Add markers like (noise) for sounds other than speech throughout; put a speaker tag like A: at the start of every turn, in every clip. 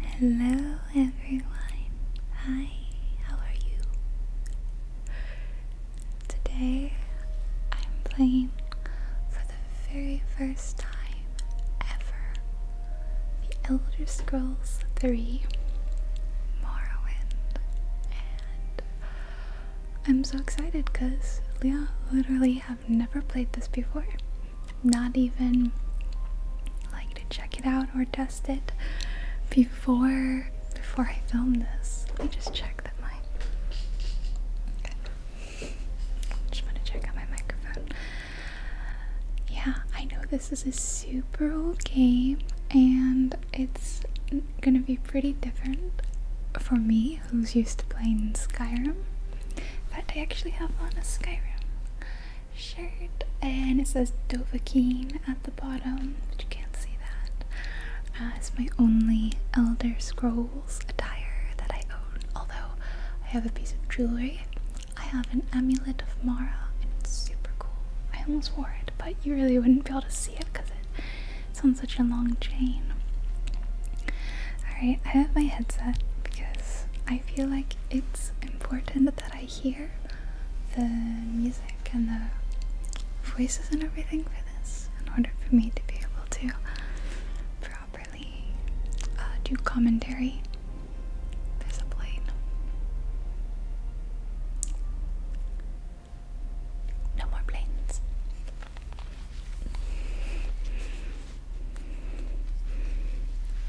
A: Hello everyone. Hi, how are you? Today I'm playing for the very first time ever The Elder Scrolls 3 Morrowind and I'm so excited because Leah literally has have never played this before. Not even like to check it out or test it before before I film this. Let me just check that my Just want to check out my microphone. Yeah, I know this is a super old game and it's gonna be pretty different for me who's used to playing Skyrim. In fact I actually have on a Skyrim shirt and it says Dovahkiin at the bottom, but you can't see that. Uh, it's my only Elder Scrolls attire that I own, although I have a piece of jewelry. I have an amulet of Mara and it's super cool. I almost wore it, but you really wouldn't be able to see it because it's on such a long chain. Alright, I have my headset because I feel like it's important that I hear the music and the voices and everything for this in order for me to be able to properly uh, do commentary. There's a plane. No more planes.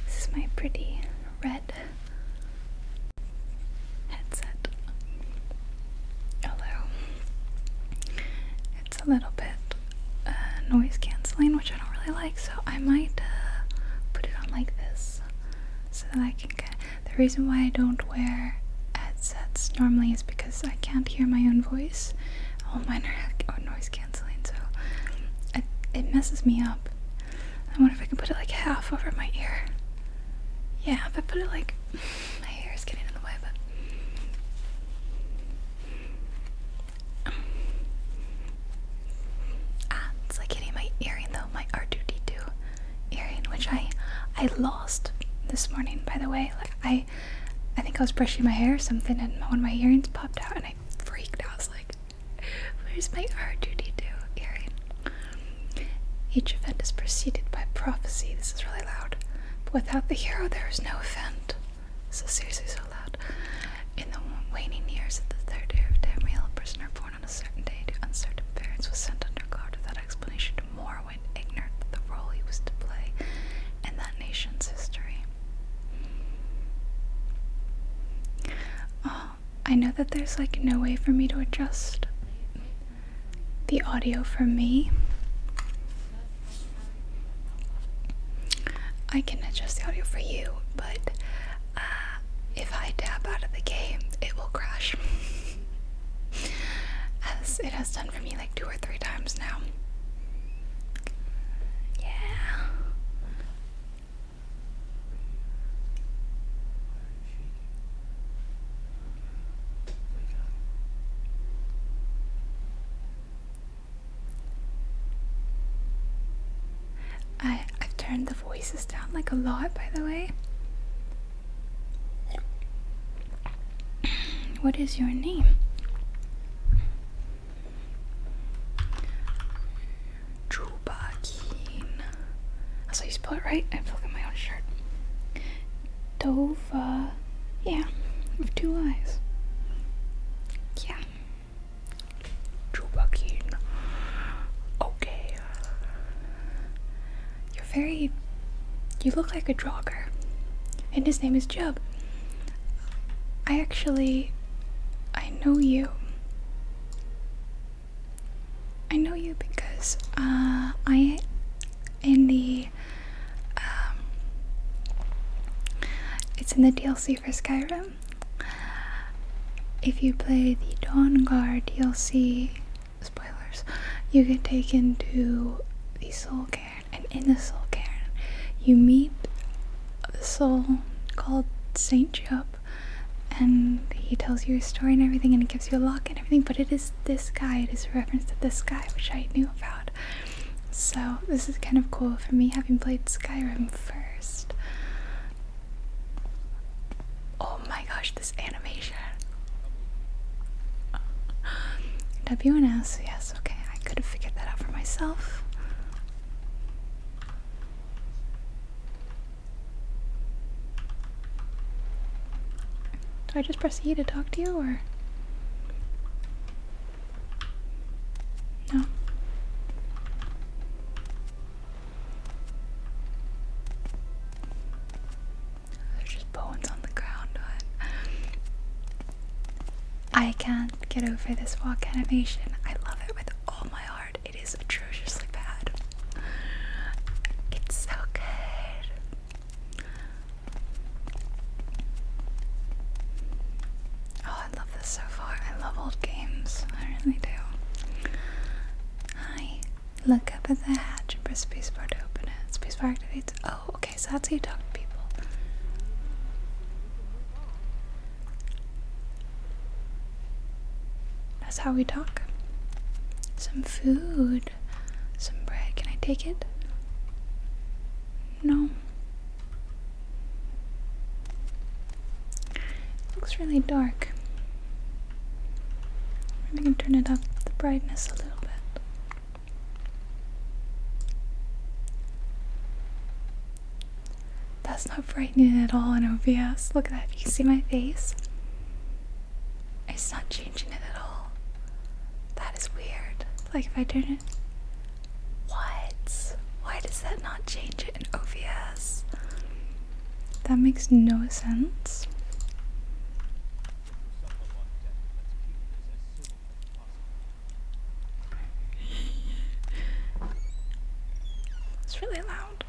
A: This is my pretty red headset. Although it's a little bit uh, noise canceling, which I don't really like, so I might uh, put it on like this so that I can get. The reason why I don't wear headsets normally is because I can't hear my own voice. Oh, mine are oh, noise so it messes me up. I wonder if I can put it like half over my ear. Yeah, if I put it like (sighs) my hair is getting in the way, but (sighs) ah, it's like hitting my earring though, my R2D2 earring, which I I lost this morning. By the way, like I I think I was brushing my hair or something, and one of my earrings popped out, and I freaked. I was like, Where's my R2D2 Each event is preceded by prophecy. This is really loud. But without the hero, there is no event. So seriously so loud. In the waning years of the third era of Tamriel, a prisoner born on a certain day to uncertain parents was sent under guard without explanation to Morrowind, ignorant of the role he was to play in that nation's history. Oh, I know that there's like no way for me to adjust the audio for me. I can adjust the audio for you, but uh, if I tap out of the game, it will crash. As it has done for me like two or three times now. Yeah. I, I've turned the voices down like a lot, by the way. (clears throat) What is your name? Juba Keen. That's how you spell it, right? I have to at my own shirt. Dova. Yeah, with two eyes. Yeah. Juba Okay. You're very. You look like a jogger. And his name is Jub. I actually. I know you. I know you because uh, I, in the, um, it's in the DLC for Skyrim. If you play the Dawn Guard DLC, spoilers, you get taken to the Soul Cairn, and in the Soul Cairn, you meet a soul called Saint Job, and he tells you his story and everything, and he gives you a lock and everything. But it is this guy; it is a reference to this guy, which I knew about. So this is kind of cool for me, having played Skyrim first. Oh my gosh, this animation! W and S, yes, okay, I could have figured that out for myself. Do I just press E to talk to you or? No. There's just bones on the ground. I can't get over this walk animation. I love it with all my heart. It is atrociously bad. It's so good. Oh, I love this so far. I love old games. I really do. Hi. Look up at the hatch and press spacebar to open it. Spacebar activates. Oh, okay, so that's how you talk to people. That's how we talk. Some food. Some bread. Can I take it? No. looks really dark. I'm going turn it up the brightness a little bit. That's not frightening at all in OBS. Look at that. You see my face? It's not changing it at all. That is weird. Like if I turn it. What? Why does that not change it in OBS? That makes no sense loud.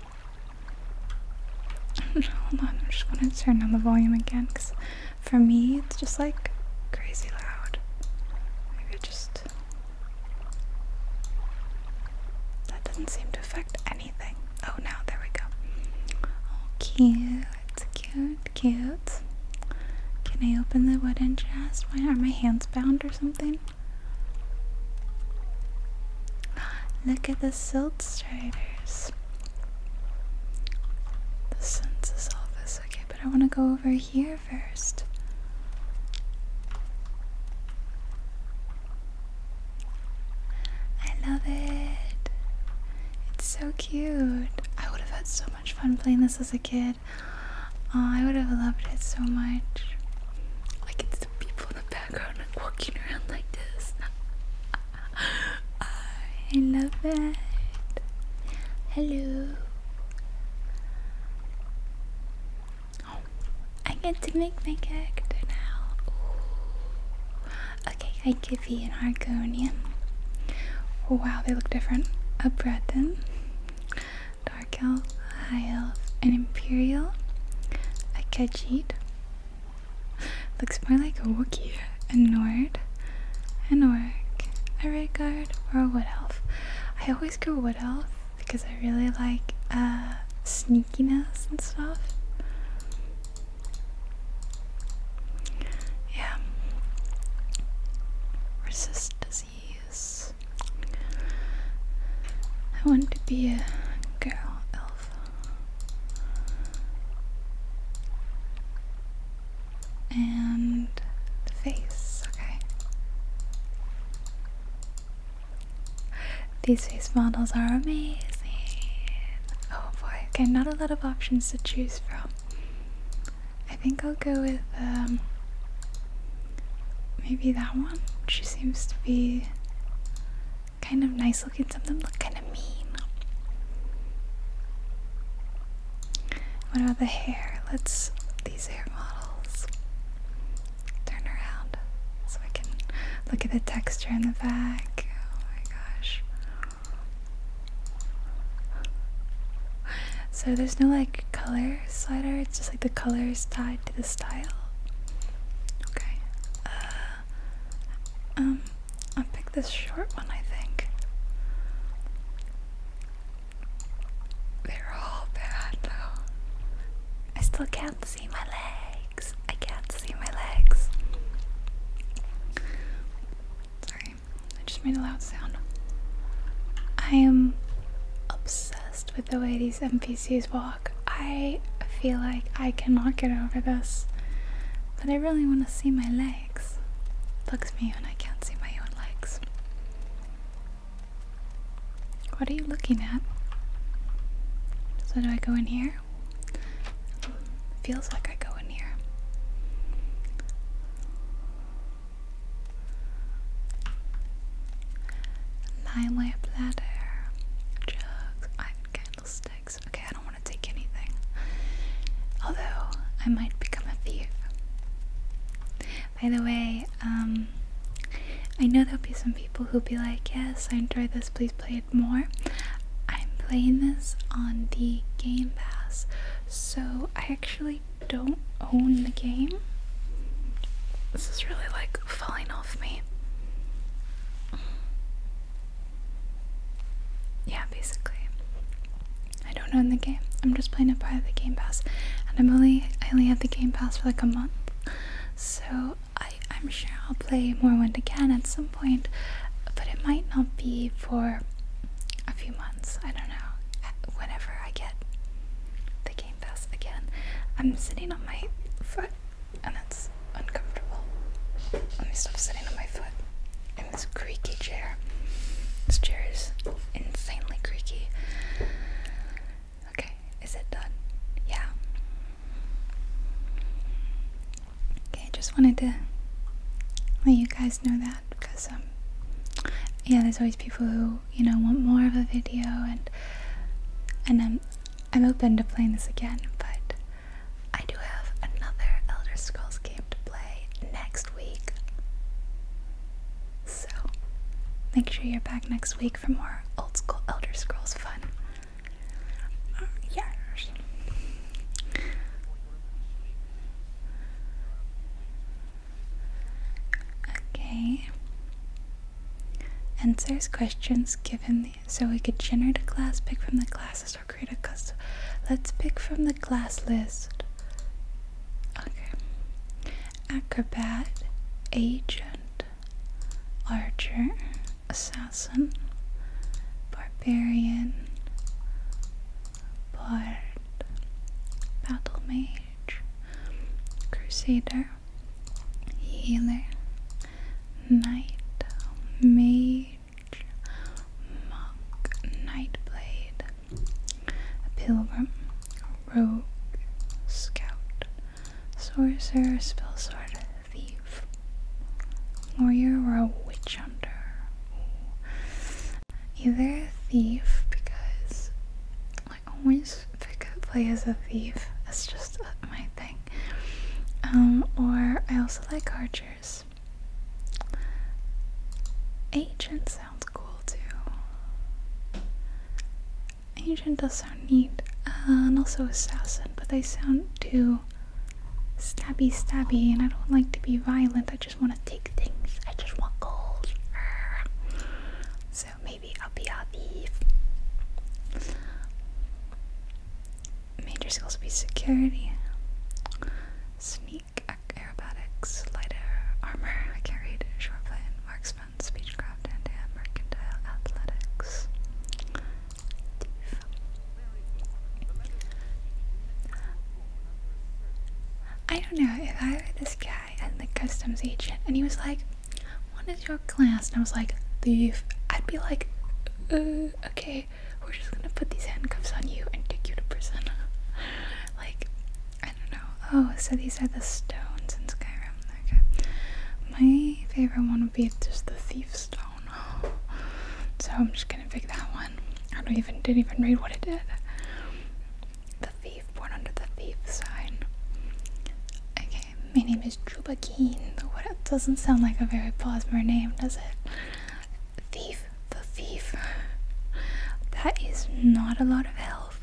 A: (laughs) Hold on, I'm just gonna turn down the volume again because for me it's just like crazy loud. Maybe just. That doesn't seem to affect anything. Oh, now there we go. Oh, cute, cute, cute. Can I open the wooden chest? Why are my hands bound or something? Look at the silt striders. The census office. Okay, but I want to go over here first. I love it. It's so cute. I would have had so much fun playing this as a kid. Oh, I would have loved it so much. Like it's the people in the background walking around like this. (laughs) I love that. Hello. Oh, I get to make my character now. Okay, I could be an Argonian. Wow, they look different. A Breton, Dark Elf, High Elf, an Imperial, a Khajiit. (laughs) Looks more like a wookie, a Nord, an Orc, a redguard, or a Wood Elf. I always go Wood Elf because I really like uh, sneakiness and stuff. Yeah. Resist disease. I want to be a girl elf. And the face, okay. These face models are amazing. Oh boy, okay, not a lot of options to choose from. I think I'll go with um, Maybe that one? She seems to be kind of nice looking. Something of kind of mean. What about the hair? Let's, these hair models, turn around so I can look at the texture in the back. Oh my gosh. So there's no like color slider, it's just like the colors tied to the style. Okay. Uh, um, i pick this short one, I think. They're all bad I still can't see my legs. I can't see my legs. Sorry, I just made a loud sound. I am obsessed with the way these NPCs walk. I feel like I cannot get over this. But I really want to see my legs. Bugs me when I can't see my own legs. What are you looking at? So do I go in here? Feels like I go in here nine-way platter, jugs, candlesticks. Okay, I don't want to take anything. Although I might become a thief. By the way, um, I know there'll be some people who'll be like, "Yes, I enjoyed this. Please play it more." I'm playing this on the Game Pass, so I actually don't own the game. This is really like falling off me. Yeah, basically. I don't own the game. I'm just playing it by the Game Pass, and I'm only I only have the Game Pass for like a month, so I I'm sure I'll play more Morrowind again at some point, but it might not be for a few months. I don't know. Whenever I get the Game Pass again, I'm sitting on my foot and that's uncomfortable. Let me stop sitting on my foot in this creaky chair. This insanely creaky. Okay, is it done? Yeah. Okay, just wanted to let you guys know that because, um, yeah, there's always people who, you know, want more of a video and, and um, I'm open to playing this again, but I do have another Elder Scrolls game to play next week. So make sure you're back next week for more old school Elder Scrolls fun. Uh, yes. Okay. Answers questions given so we could generate a class, pick from the classes, or create a custom. Let's pick from the class list. Okay. Acrobat, agent, archer, assassin, barbarian, bard, battle mage, crusader, healer, knight, mage, monk, nightblade, a pilgrim, rogue, scout, sorcerer, spell sword, thief, warrior, or a witch hunter. Either a thief because I always pick up play as a thief. That's just my thing. Um, or I also like archers. Agent sounds cool too. Agent does sound neat, uh, and also assassin, but they sound too stabby stabby, and I don't like to be violent. I just want to take things. I just want gold. So maybe I'll be major skills be security, sneak, aerobatics, light armor. I can't marksman, speechcraft, and mercantile, athletics. I don't know if I were this guy and the customs agent, and he was like, what is your class? And I was like, thief. I'd be like, uh, okay, we're just gonna put these handcuffs on you and take you to prison. (laughs) like, I don't know. Oh, so these are the stones in Skyrim. Okay. My favorite one would be just the thief stone. (gasps) So I'm just gonna pick that one. I don't even didn't even read what it did. The thief born under the thief sign. Okay, my name is Juba Keen. What doesn't sound like a very Posmer name, does it? Thief, the thief. That is not a lot of health.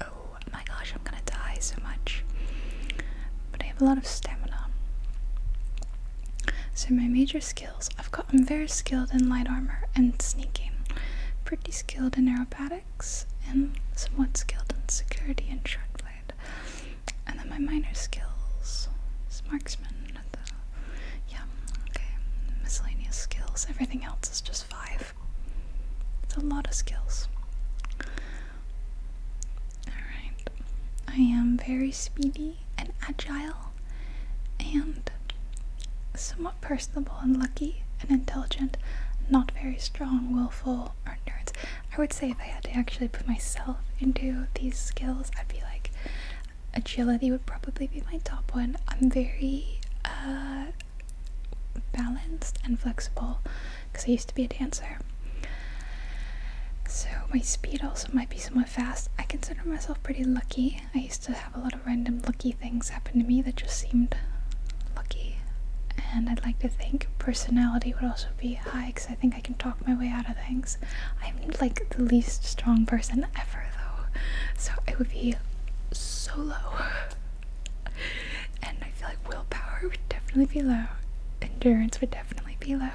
A: Oh my gosh, I'm gonna die so much. But I have a lot of stamina. So my major skills, I've gotten very skilled in light armor and sneaking. Pretty skilled in aerobatics and somewhat skilled in security and short and then my minor skills is marksman. yeah, okay. Miscellaneous skills. Everything else is just five. It's a lot of skills. Alright. I am very speedy and agile and somewhat personable and lucky and intelligent, not very strong, willful, are nerds. I would say if I had to actually put myself into these skills, I'd be like, agility would probably be my top one. I'm very uh, balanced and flexible because I used to be a dancer. So my speed also might be somewhat fast. I consider myself pretty lucky. I used to have a lot of random lucky things happen to me that just seemed lucky. And I'd like to think personality would also be high I think I can talk my way out of things. I'm like the least strong person ever, though, so I would be so low. And I feel like willpower would definitely be low, endurance would definitely be low.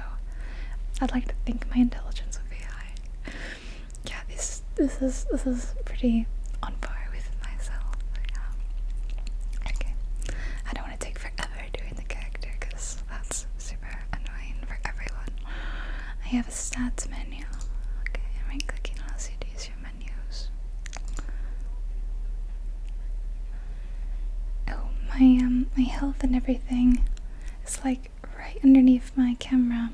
A: I'd like to think my intelligence would be high. Yeah, this this is this is pretty on par with myself. Okay, I don't want take forever doing the character because that's super annoying for everyone. I have a stats menu. Okay, I'm right clicking on LCDs, your menus. Oh, my um, my health and everything is like right underneath my camera.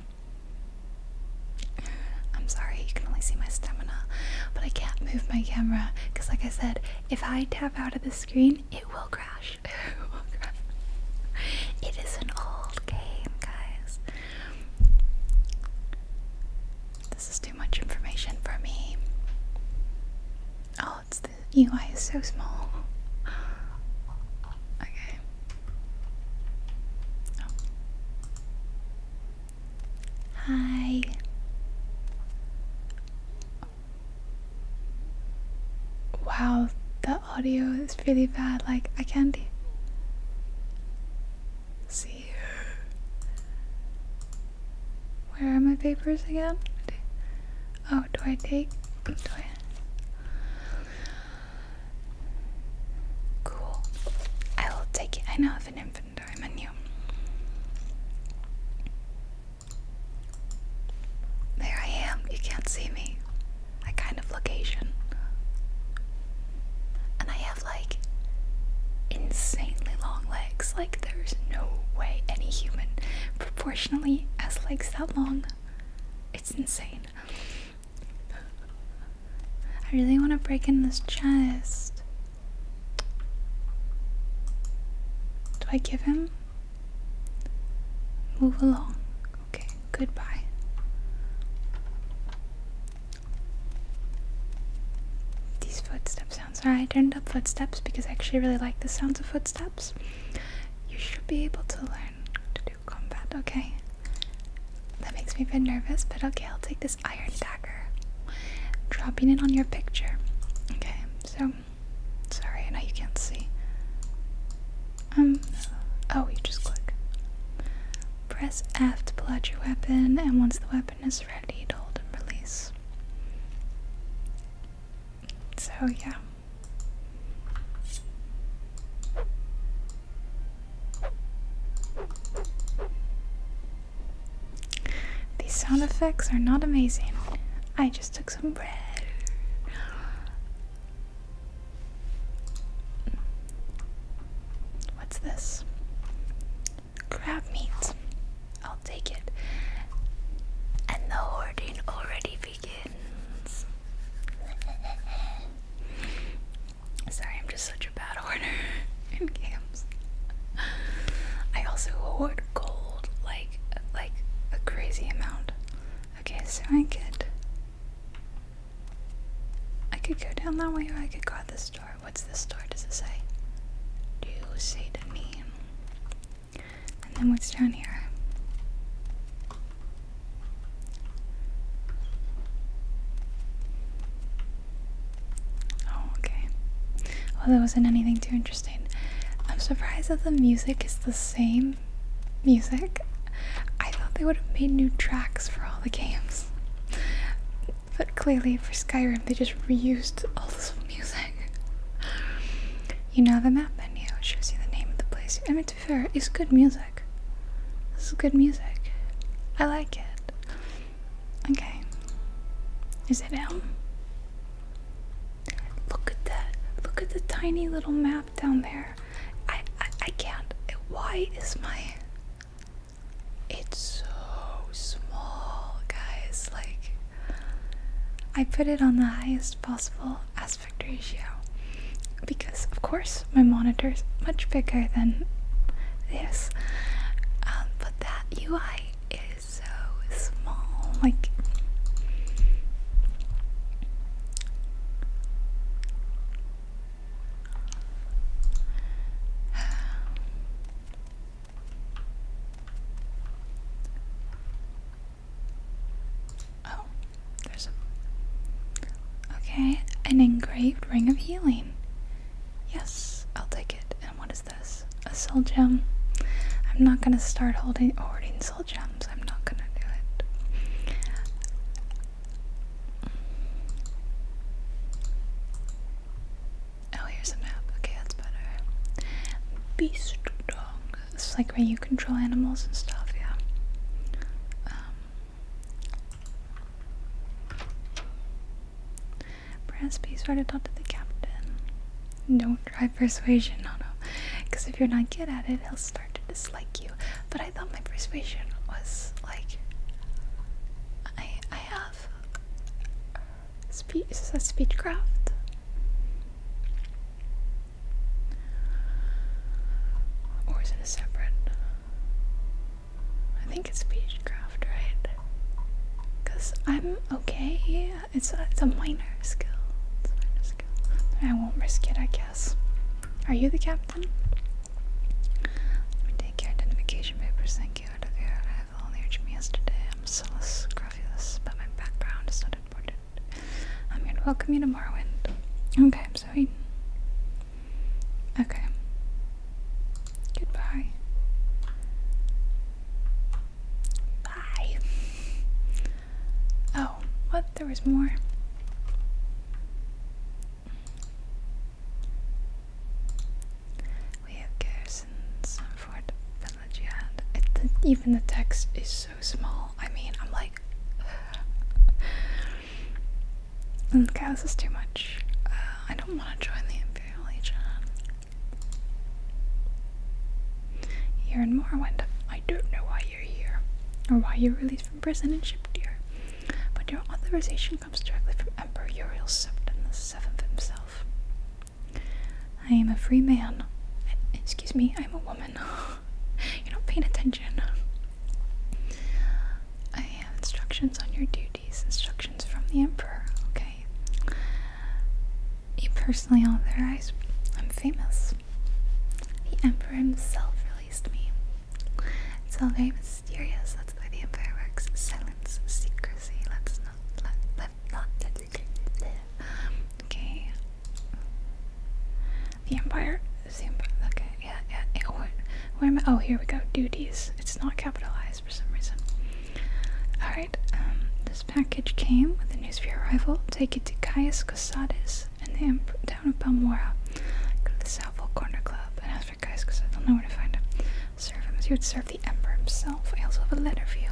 A: I'm sorry, you can only see my stamina, but I can't move my camera because, like I said, if I tap out of this screen, (laughs) it will crash. it is an old game, guys. This is too much information for me. Oh, it's the UI is so small. (laughs) Okay. Oh. Hi. Wow, the audio is really bad. Like, I can't see. Where are my papers again? Oh, do I take? Do I? Cool. I will take it. I now have an inventory menu. There I am, you can't see me. I kind of location. And I have like insanely long legs. Like, there's no way any human proportionally has legs that long. It's insane. I really want to break in this chest. Do I give him? Move along. Okay, goodbye. These footsteps sounds. Alright, I turned up footsteps because I actually really like the sounds of footsteps. You should be able to learn to do combat, okay? That makes me a bit nervous, but okay, I'll take this iron dagger. Dropping it on your picture. Okay, so sorry, now you can't see. Um, oh, you just click. Press F to pull out your weapon, and once the weapon is ready, to hold and release. So, yeah. These sound effects are not amazing. I just stick some bread. What's this? Crab meat. I'll take it. And the hoarding already begins. (laughs) Sorry, I'm just such a bad hoarder (laughs) I also hoard gold like like a crazy amount. Okay, so I could I could go down that way or I could go out this door. What's this door? Does it say? Do you say to me? And then what's down here? Oh, okay. Well, there wasn't anything too interesting. I'm surprised that the music is the same music. I thought they would have made new tracks for all the games. But clearly, for Skyrim, they just reused all this (laughs) music. You know, the map menu shows you the name of the place. I mean, to be fair, it's good music. This is good music. I like it. Okay. Is it Elm? Look at that. Look at the tiny little map down there. I I, can't. Why is my It's so small, guys. Like I put it on the highest possible aspect ratio because of course my monitor's much bigger than this. Um, but that UI is so small. Like, (sighs) oh, there's okay, an engraved ring of healing. Yes, I'll take it. And what is this? a soul gem. I'm not gonna start holding hoarding soul gems. I'm not gonna do it. Oh, here's a map. Okay, that's better. Beast dog. It's like where you control animals and stuff, yeah. Um, Bransby started talk to the captain. No. Try persuasion no, no, Because if you're not good at it, he'll start to dislike you. But I thought my persuasion was like. I I have. Speech. Is that speechcraft? Or is it a separate? I think it's speechcraft, right? Because I'm okay it's a, minor skill. I won't risk it, I guess. Are you the captain? Let me take your identification papers. Thank you. I took your arrival on the HM yesterday. I'm so scrofulous, but my background is not important. I'm to welcome you to Morrowind. Okay, I'm sorry. Okay. Goodbye. Bye. Oh, what? There was more. We have garrisons on Fort Pelagiad. It, the, even the text is so small. I mean, I'm like. okay, (sighs) mm, is too much. Uh, I don't want to join the Imperial here in Morrowind, I don't know why you're here, or why you're released from prison and shipped here, but your authorization comes directly from Emperor Uriel Septon the Seventh himself. I am a free man. Excuse me, I'm a woman. (laughs) You're not paying attention. I have instructions on your duties, instructions from the Emperor, okay? Me personally, authorized. I'm famous. The Emperor himself released me. It's all very mysterious. That's why the Empire works. Silence, secrecy. Let's not let let not let Okay. The Empire. The Empire. Okay. Yeah. Yeah. What, where am I? Oh, here we go. Duties. It's not capitalized for some reason. All right. Um package came with the news of your arrival. Take it to Caius Cosades and the down of Balmora. Go to the Southwell Corner Club and ask for Caius because i don't know where to find him. Serve him as you would serve the Emperor himself. I also have a letter for you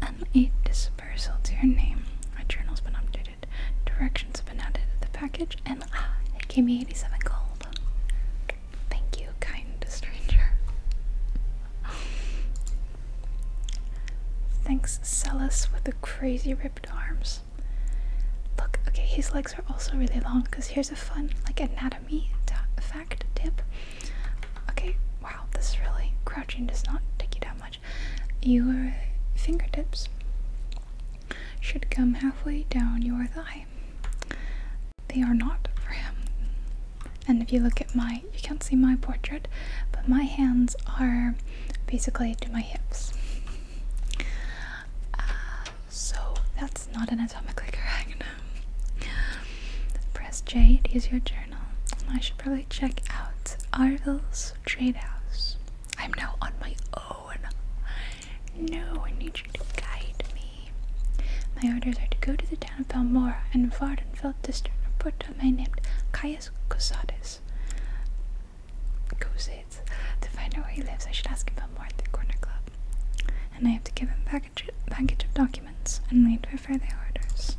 A: and a dispersal to your name. My journal's been updated. Directions have been added to the package and ah, it gave me 87 gold. Thank you, kind stranger. Thanks, Celis, with the crazy ripped arms. Look, okay, his legs are also really long because here's a fun, like, anatomy fact tip. Okay, wow, this really crouching does not take you that much. Your fingertips should come halfway down your thigh. They are not for him. And if you look at my you can't see my portrait, but my hands are basically to my hips. Uh, so that's not an anatomically correct. Press J to use your journal. I should probably check out Arville's Trade House. I'm now on my own. No, I need you to guide me. My orders are to go to the town of Balmora and Vardenfeld district and report to a man named Caius Cosades. Corsets. Corsets. To find out where he lives, I should ask him about more at the corner club. And I have to give him a package, package of documents and wait for further orders.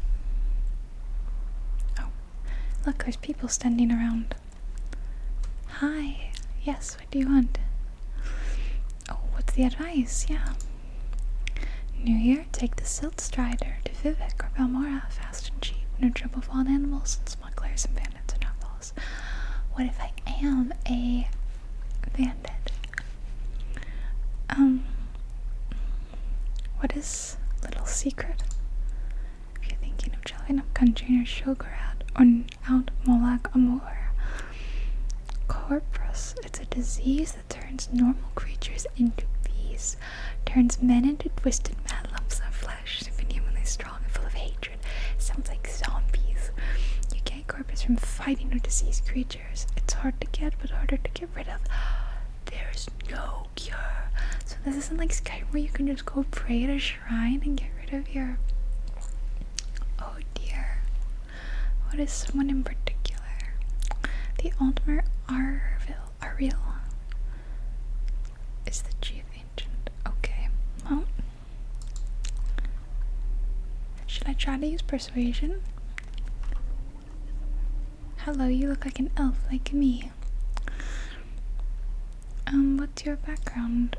A: Oh, look, there's people standing around. Hi. Yes, what do you want? Oh, what's the advice? Yeah. New Year, take the Silt Strider to Vivek or Balmora, fast and cheap, no trouble with animals and smugglers and bandits are not outlaws. What if I am a bandit? Um, what is Little Secret? If you're thinking of traveling up country or Shogarat or out Molak Amor. Corpus, it's a disease that turns normal creatures into bees turns men into twisted mad lumps of flesh, inhumanly strong and full of hatred. Sounds like zombies. You get corpses from fighting or diseased creatures. It's hard to get, but harder to get rid of. There's no cure. So this isn't like Skyrim where you can just go pray to a shrine and get rid of your. Oh dear. What is someone in particular? The Altmer Arville are real. Is the chief ancient? Okay. should I try to use persuasion? Hello, you look like an elf, like me. Um, what's your background?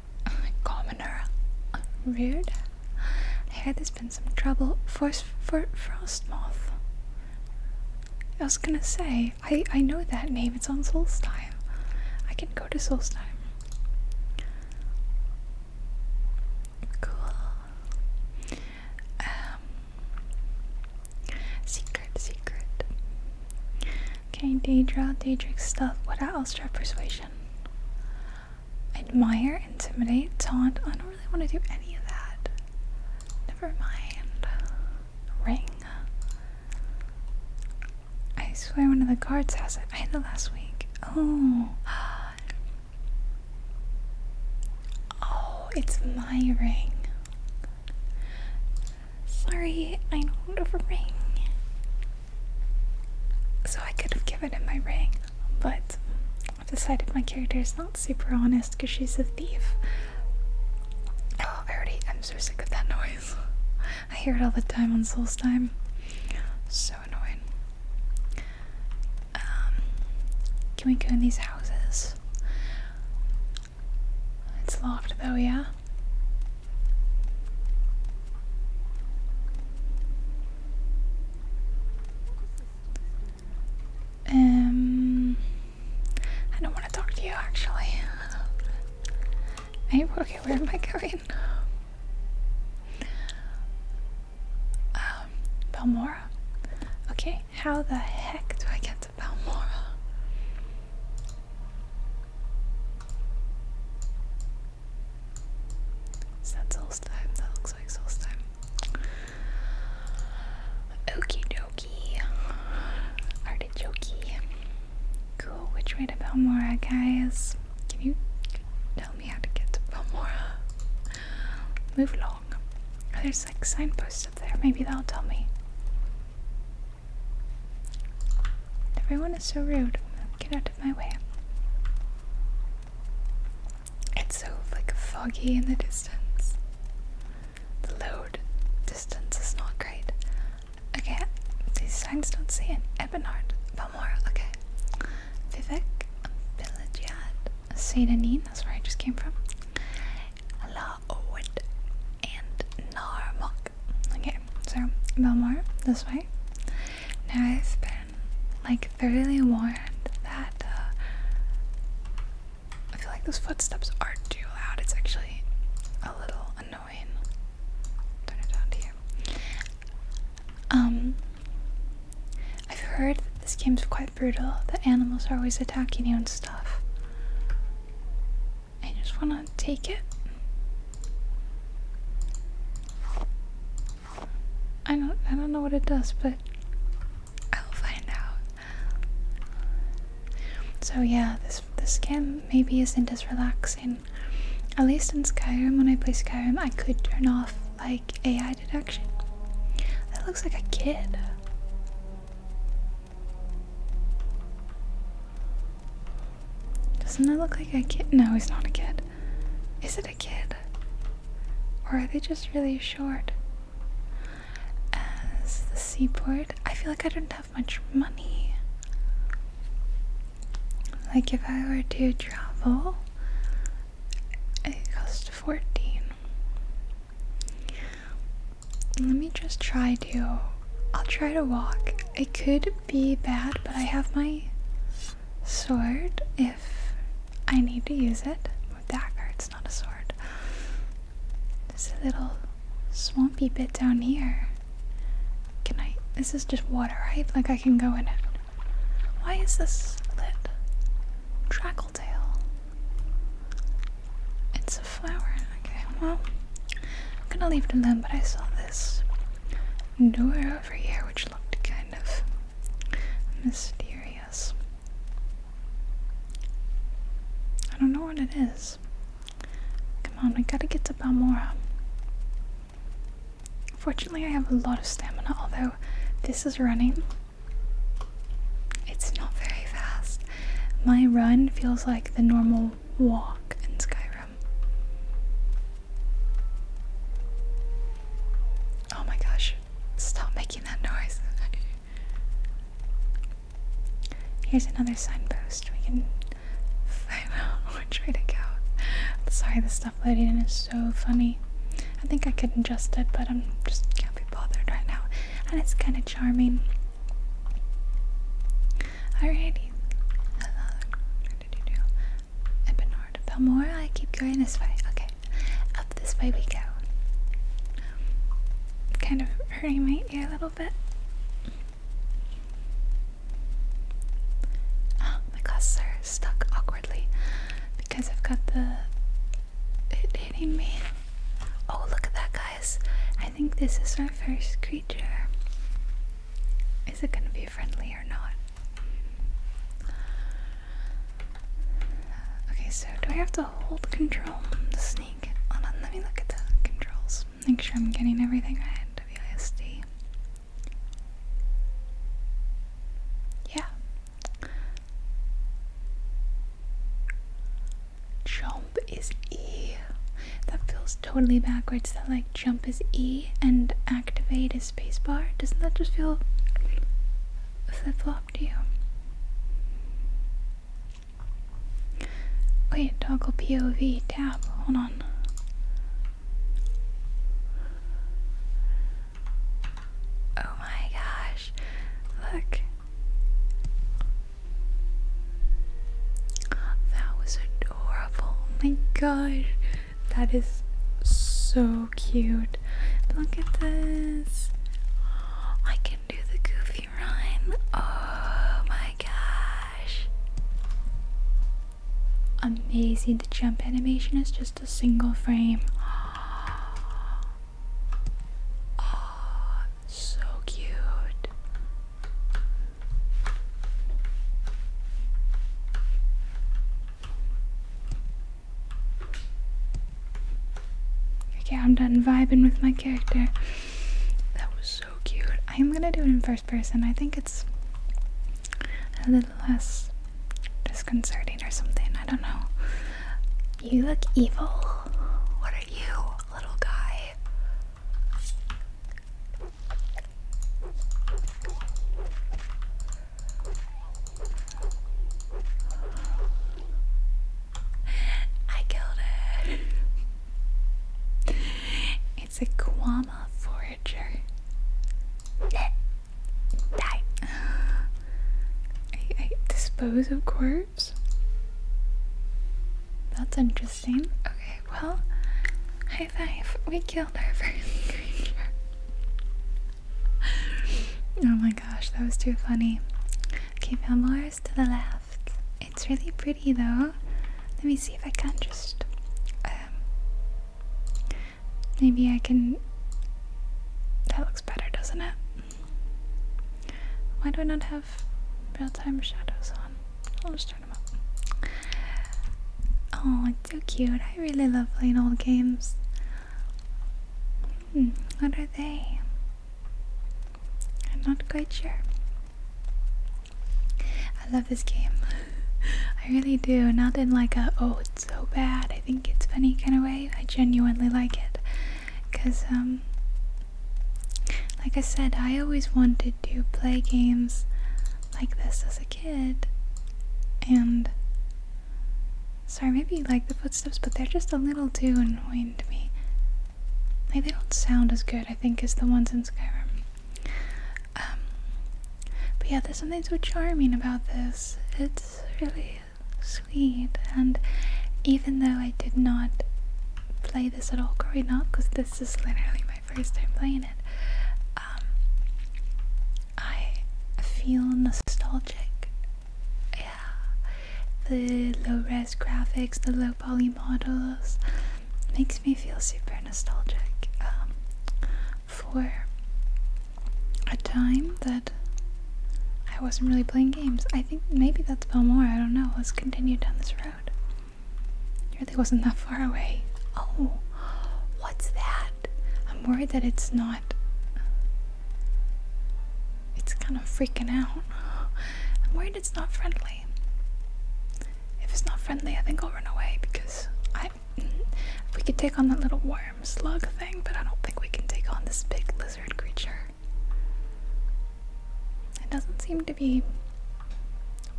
A: (laughs) Commoner. Weird. I heard there's been some trouble. Force for moth. I was gonna say, I, I know that name, it's on Solstheim. I can go to Solstheim. Cool. Um, secret, secret. Okay, Daedra, Daedric stuff. What else? Try persuasion. Admire, intimidate, taunt. I don't really want to do any of that. Never mind ring. I swear one of the guards has it. In the last week. Oh. Oh, it's my ring. Sorry, I don't have a ring. So I could have given him my ring, but I've decided my character is not super honest because she's a thief. Oh, I already I'm so sick of that noise. (laughs) I hear it all the time on Souls Time. So annoying. Um can we go in these houses? It's locked though, yeah? Um, I don't want to talk to you actually. Hey, okay, where am I going? Um, Balmora. Okay, how the heck do I get to Balmora? Is that That looks like Solstheim. Okie dokie. Artichokey. Cool. Which way to Belmora, guys? Can you tell me how to get to Belmora? Move along. Oh, there's like signposts up there. Maybe that'll tell me. Everyone is so rude. Get out of my way. It's so like foggy in the distance. The load distance is not great. Okay, these signs don't say an Ebonard, more okay. Vivek, Village Villagiad, Sedanine, that's where I just came from. La Owed, and Narmok. Okay, so Balmoral, this way. Now I've been like thoroughly warned that uh, I feel like those footsteps aren't too loud. It's actually a little annoying. Turn it down to Um, I've heard that this game's quite brutal. The animals are always attacking you and stuff. I just want to take it. I don't. I don't know what it does, but I'll find out. So yeah, this this game maybe isn't as relaxing. At least in Skyrim, when I play Skyrim, I could turn off like AI detection. That looks like a kid. Doesn't that look like a kid? No, he's not a kid. Is it a kid? Or are they just really short? as the seaport. I feel like I don't have much money. Like if I were to travel, it costs 14. Let me just try to I'll try to walk. It could be bad, but I have my sword if I need to use it. With dagger, it's not a sword. This little swampy bit down here. Can I? This is just water, right? Like I can go in it. Why is this lit? Trackletail. It's a flower. Okay, well, I'm gonna leave it alone, but I saw this door over here which looked kind of mysterious. I don't know what it is. Come on, we gotta get to Balmora. Fortunately, I have a lot of stamina, although this is running. It's not very fast. My run feels like the normal walk in Skyrim. Oh my gosh, stop making that noise. (laughs) Here's another signpost. We can find (laughs) out which way to go. sorry, the stuff loading in is so funny. I think I could adjust it, but I'm just can't be bothered right now. And it's kind of charming. Alrighty. Hello. What did you do? Ebenard. Balmora, I keep going this way. Okay. Up this way we go. Kind of hurting my ear a little Ah, my glasses stuck awkwardly because I've got the it hitting me. Oh, look at that, guys! I think this is our first creature. Is it gonna be friendly or not? Okay, so do I have to hold control? Hold on, let me look at the controls. Make sure I'm getting everything right. WISD. Yeah. Jump is E. That feels totally backwards. That like jump is E and activate is spacebar. Doesn't that just feel flip flop to you? Wait, toggle POV tab. Hold on. Oh my gosh. Look. That was adorable. Oh my gosh. That is so cute. Look at this. I can do the goofy Oh my gosh. Amazing. The jump animation is just a single frame. (gasps) Oh, so cute. Okay, I'm done vibing with my character. That was so cute. I'm gonna do it in first person. I think it's a little less disconcerting or something. I don't know. You look evil. What are you, little guy? I killed it. (laughs) It's a Kwama forager. Die. I, dispose of corpse. That's interesting. Okay, well, high five. We killed our (laughs) first creature. oh my gosh, that was too funny. Okay, Pamela, to the left. It's really pretty though. Let me see if I can just. Um, maybe I can. That looks better, doesn't it? Why do I not have real time shadows on? I'll just turn them up. Oh, it's so cute. I really love playing old games. Hmm, what are they? I'm not quite sure. I love this game. (laughs) I really do. Not in like a oh it's so bad, I think it's funny kind of way. I genuinely like it. Cause um like I said, I always wanted to play games like this as a kid. And sorry, maybe you like the footsteps, but they're just a little too annoying to me like they don't sound as good I think as the ones in Skyrim. Um, but yeah, there's something so charming about this. It's really sweet, and even though I did not play this at all growing up, because this is literally my first time playing it, um, I feel nostalgic. Yeah, the low res graphics, the low poly models makes me feel super nostalgic um, for a time that I wasn't really playing games. I think maybe that's Bellmore. I don't know. Let's continue down this road. It really wasn't that far away. Oh, what's that? I'm worried that it's not. It's kind of freaking out. (gasps) I'm worried it's not friendly. If it's not friendly, I think I'll run away because I. (laughs) We could take on that little worm slug thing, but I don't think we can take on this big lizard creature. It doesn't seem to be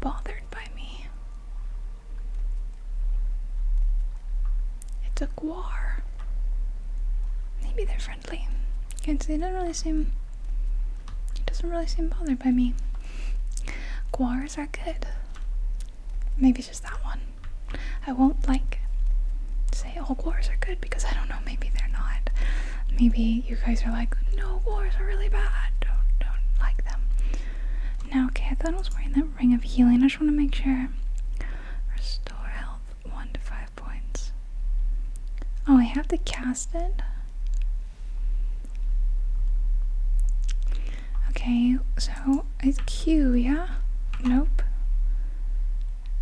A: bothered by me. It's a guar. Maybe they're friendly. It does not really seem he doesn't really seem bothered by me. Guars are good. Maybe just that one. I won't like say all guars are good because I don't know, maybe they're not. Maybe you guys are like, no guars are really bad. Don't don't like them. Now okay, I thought I was wearing that ring of healing. I just wanna make sure. Restore health one to five points. Oh I have to cast it. Okay, so it's Q, yeah? Nope.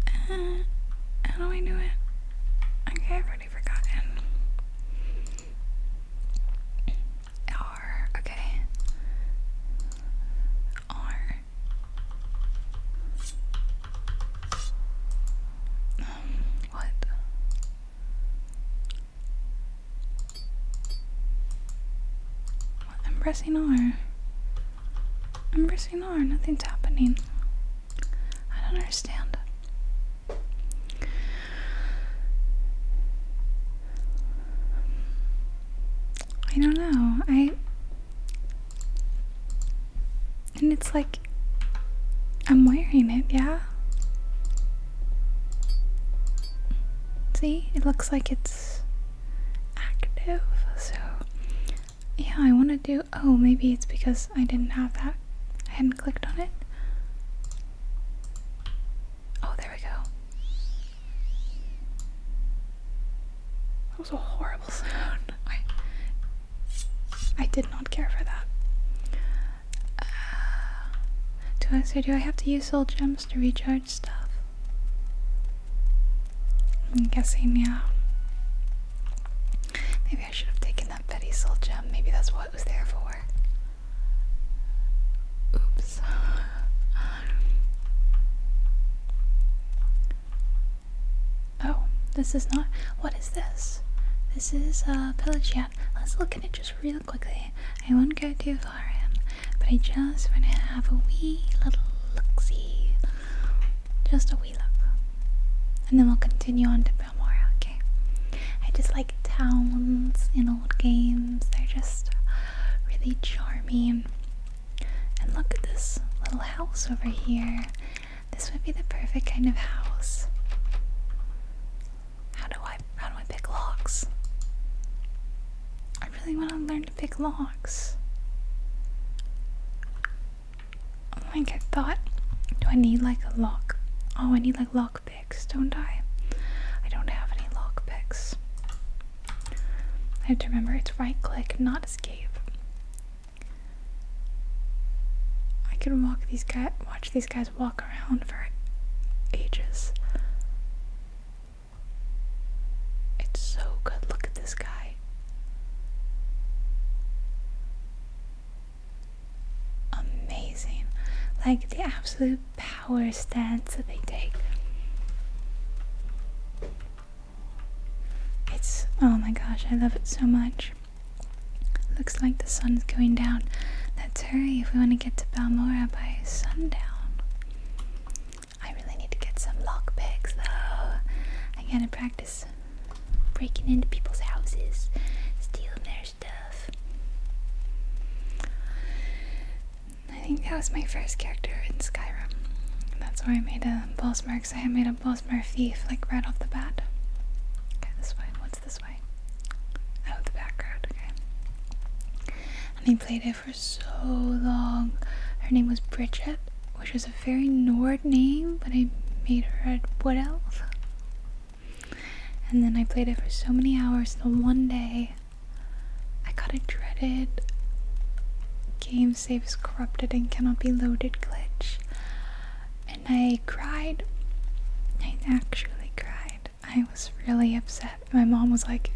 A: Uh, how do I do it? Okay, already forgotten. R, okay. R. Um, what? I'm pressing R. I'm pressing R, nothing's happening. I don't understand. I don't know. I. And it's like I'm wearing it, yeah. See, it looks like it's active, so yeah, I want to do. Oh, maybe it's because I didn't have that, I hadn't clicked on it. Oh, there we go. That was a horrible (laughs) sound. I did not care for that. Uh, do I say? do I have to use soul gems to recharge stuff? I'm guessing yeah. Maybe I should have taken that Betty soul gem. Maybe that's what it was there for. Oops. (laughs) Oh, this is not. What is this? This is a pelagia. Let's look at it just real quickly. I won't go too far in, but I just want to have a wee little look see. Just a wee look. And then we'll continue on to Bellmore. okay? I just like towns in old games, they're just really charming. And look at this little house over here. This would be the perfect kind of house. How do I how do I pick locks? I really want to learn to pick locks. Oh, I Like I thought, do I need like a lock? Oh, I need like lock picks, don't I? I don't have any lock picks. I have to remember it's right click, not escape. I can walk these guys, watch these guys walk around for ages. It's so good. Look at this guy. Amazing. Like the absolute power stance that they take. It's oh my gosh, I love it so much. Looks like the sun's going down. Let's hurry if we want to get to Balmora by sundown. I really need to get some lockpicks though. I gotta practice breaking into people's houses, stealing their stuff. I think that was my first character in Skyrim. That's where I made a boss mark. So I made a boss mark thief like right off the bat. Okay, this way. What's this way. Out oh, the back okay. And they played it for so long. Her name was Bridget, which is a very Nord name, but I made her a wood elf. And then I played it for so many hours until one day I got a dreaded game saves corrupted and cannot be loaded glitch. And I cried. I actually cried. I was really upset. My mom was like,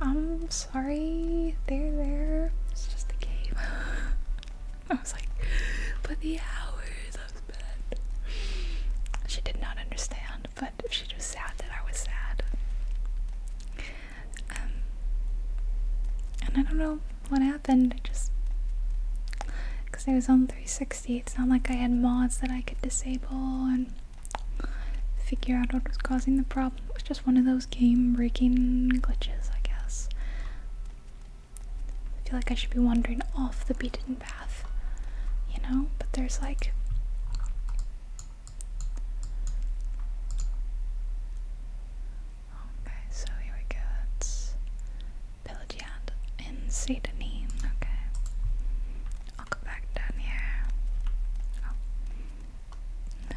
A: I'm sorry, there, there. It's just a game. (laughs) I was like, but the hours I've spent. She did not understand, but she was sad that I was sad. Um, and I don't know what happened. I just because I was on 360 60. It's not like I had mods that I could disable and figure out what was causing the problem. It was just one of those game breaking glitches, I guess. I feel like I should be wandering off the beaten path, you know? But there's like. Okay, so here we go. Pelagiad in Satanine. Okay. I'll go back down here. Oh.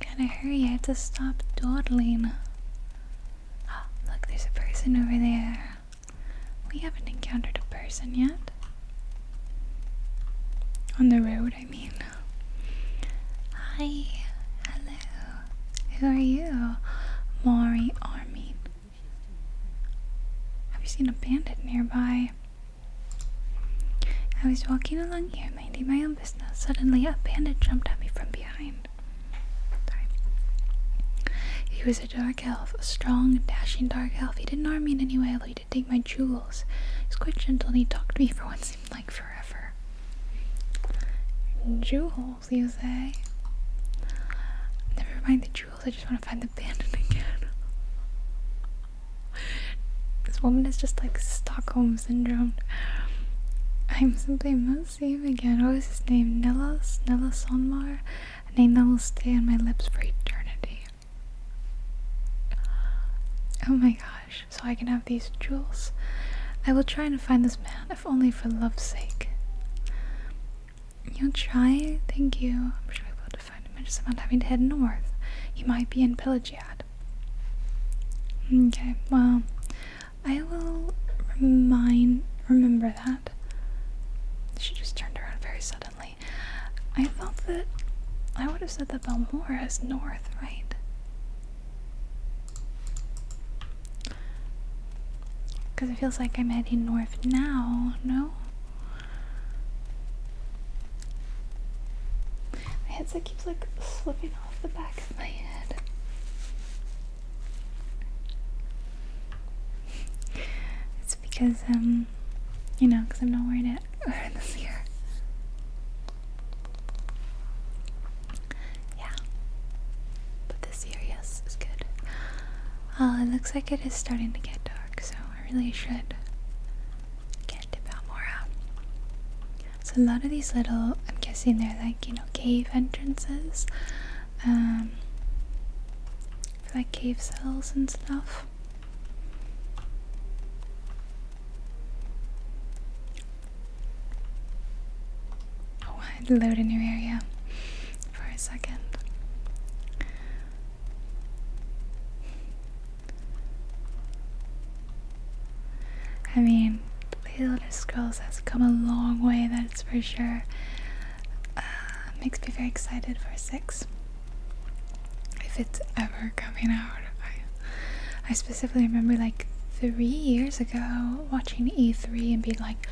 A: gotta hurry, I have to stop dawdling. Ah, look, there's a person over there. We haven't encountered a person yet. On the road, I mean. Hi, hello. Who are you? Mari Armin. Have you seen a bandit nearby? I was walking along here, minding my own business. Suddenly, a bandit jumped at me from behind. Sorry. He was a dark elf, a strong, dashing dark elf. He didn't harm me in any way, although he did take my jewels. He was quite gentle, and he talked to me for what seemed like forever. Jewels? jewels, say? Never mind the jewels, I just want to find the bandit again. (laughs) this woman is just like Stockholm Syndrome. I'm simply must see him again. What was his name? Nellas? Nellas Sonmar? A name that will stay on my lips for eternity. Oh my gosh, so I can have these jewels. I will try and find this man, if only for love's sake. You'll try? Thank you. I'm sure we'll be able to find him. I just about having to head north. He might be in Pillagiad. Okay, well, I will remind remember that. She just turned around very suddenly. I thought that I would have said that Belmora is north, right? Because it feels like I'm heading north now, no? My headset keeps like slipping off the back of my head. It's because, um, you know, because I'm not wearing it (laughs) this year. Yeah this year. Yes, it's good. Uh, it looks like it is starting to get dark, so I really should get out more out. So a lot of these little, I'm guessing they're like, you know, cave entrances. Um, like cave cells and stuff. Oh, I load a new area for a second. I mean, The Elder Scrolls has come a long way, that's for sure. Uh, makes me very excited for 6. If it's ever coming out. I, I specifically remember like three years ago watching E3 and being like,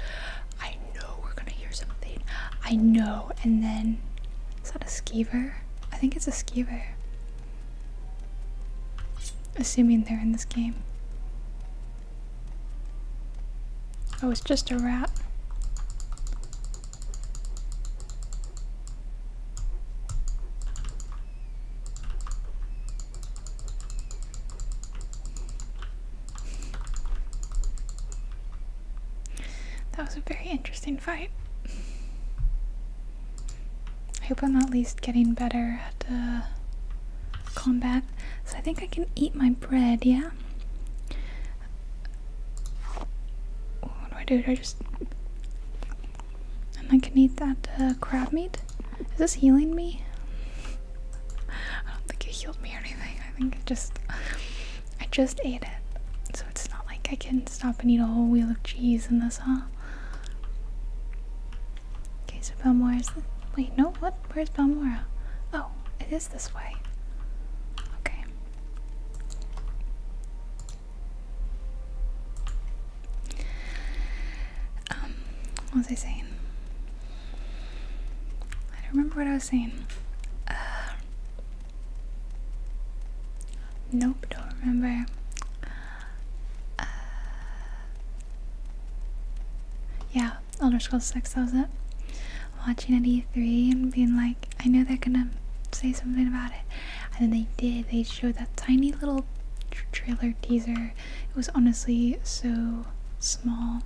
A: I know we're gonna hear something. I know. And then is that a skeever? I think it's a skeever. Assuming they're in this game. Oh, it's just a rat. That was a very interesting fight. I hope I'm at least getting better at uh, combat. So I think I can eat my bread, yeah? What do I do? Do I just... I can eat that uh, crab meat? Is this healing me? I don't think it healed me or anything. I think it just I just ate it. So it's not like I can stop and eat a whole wheel of cheese in this, huh? Okay, so Belmora is the wait, no, what? Where's Belmora? Oh, it is this way. Okay. Um, what was I saying? I don't remember what I was saying. Uh, nope, don't remember. Uh, yeah, Elder Scrolls 6, that was it. Watching at E3 and being like, I know they're gonna say something about it. And then they did. They showed that tiny little trailer teaser. It was honestly so small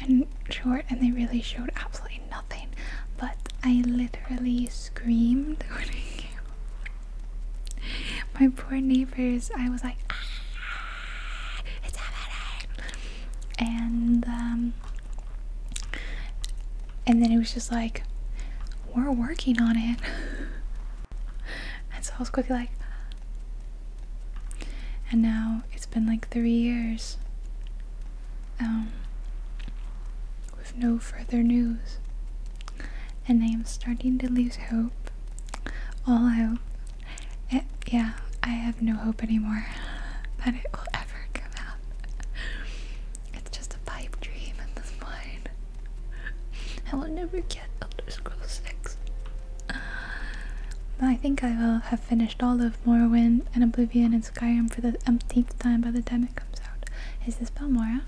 A: and short and they really showed absolutely nothing but I literally screamed (laughs) My poor neighbors, I was like ah, it's happening and um and then it was just like we're working on it (laughs) and so I was quickly like and now it's been like three years. Um, with no further news. And I am starting to lose hope. All hope. Eh, yeah, I have no hope anymore (laughs) that it will ever come out. It's just a pipe dream at this point. I will never get Elder Scrolls 6. I think I will have finished finished all of Morrowind and Oblivion and Skyrim for the umpteenth time by the time it comes out. Is this Balmora?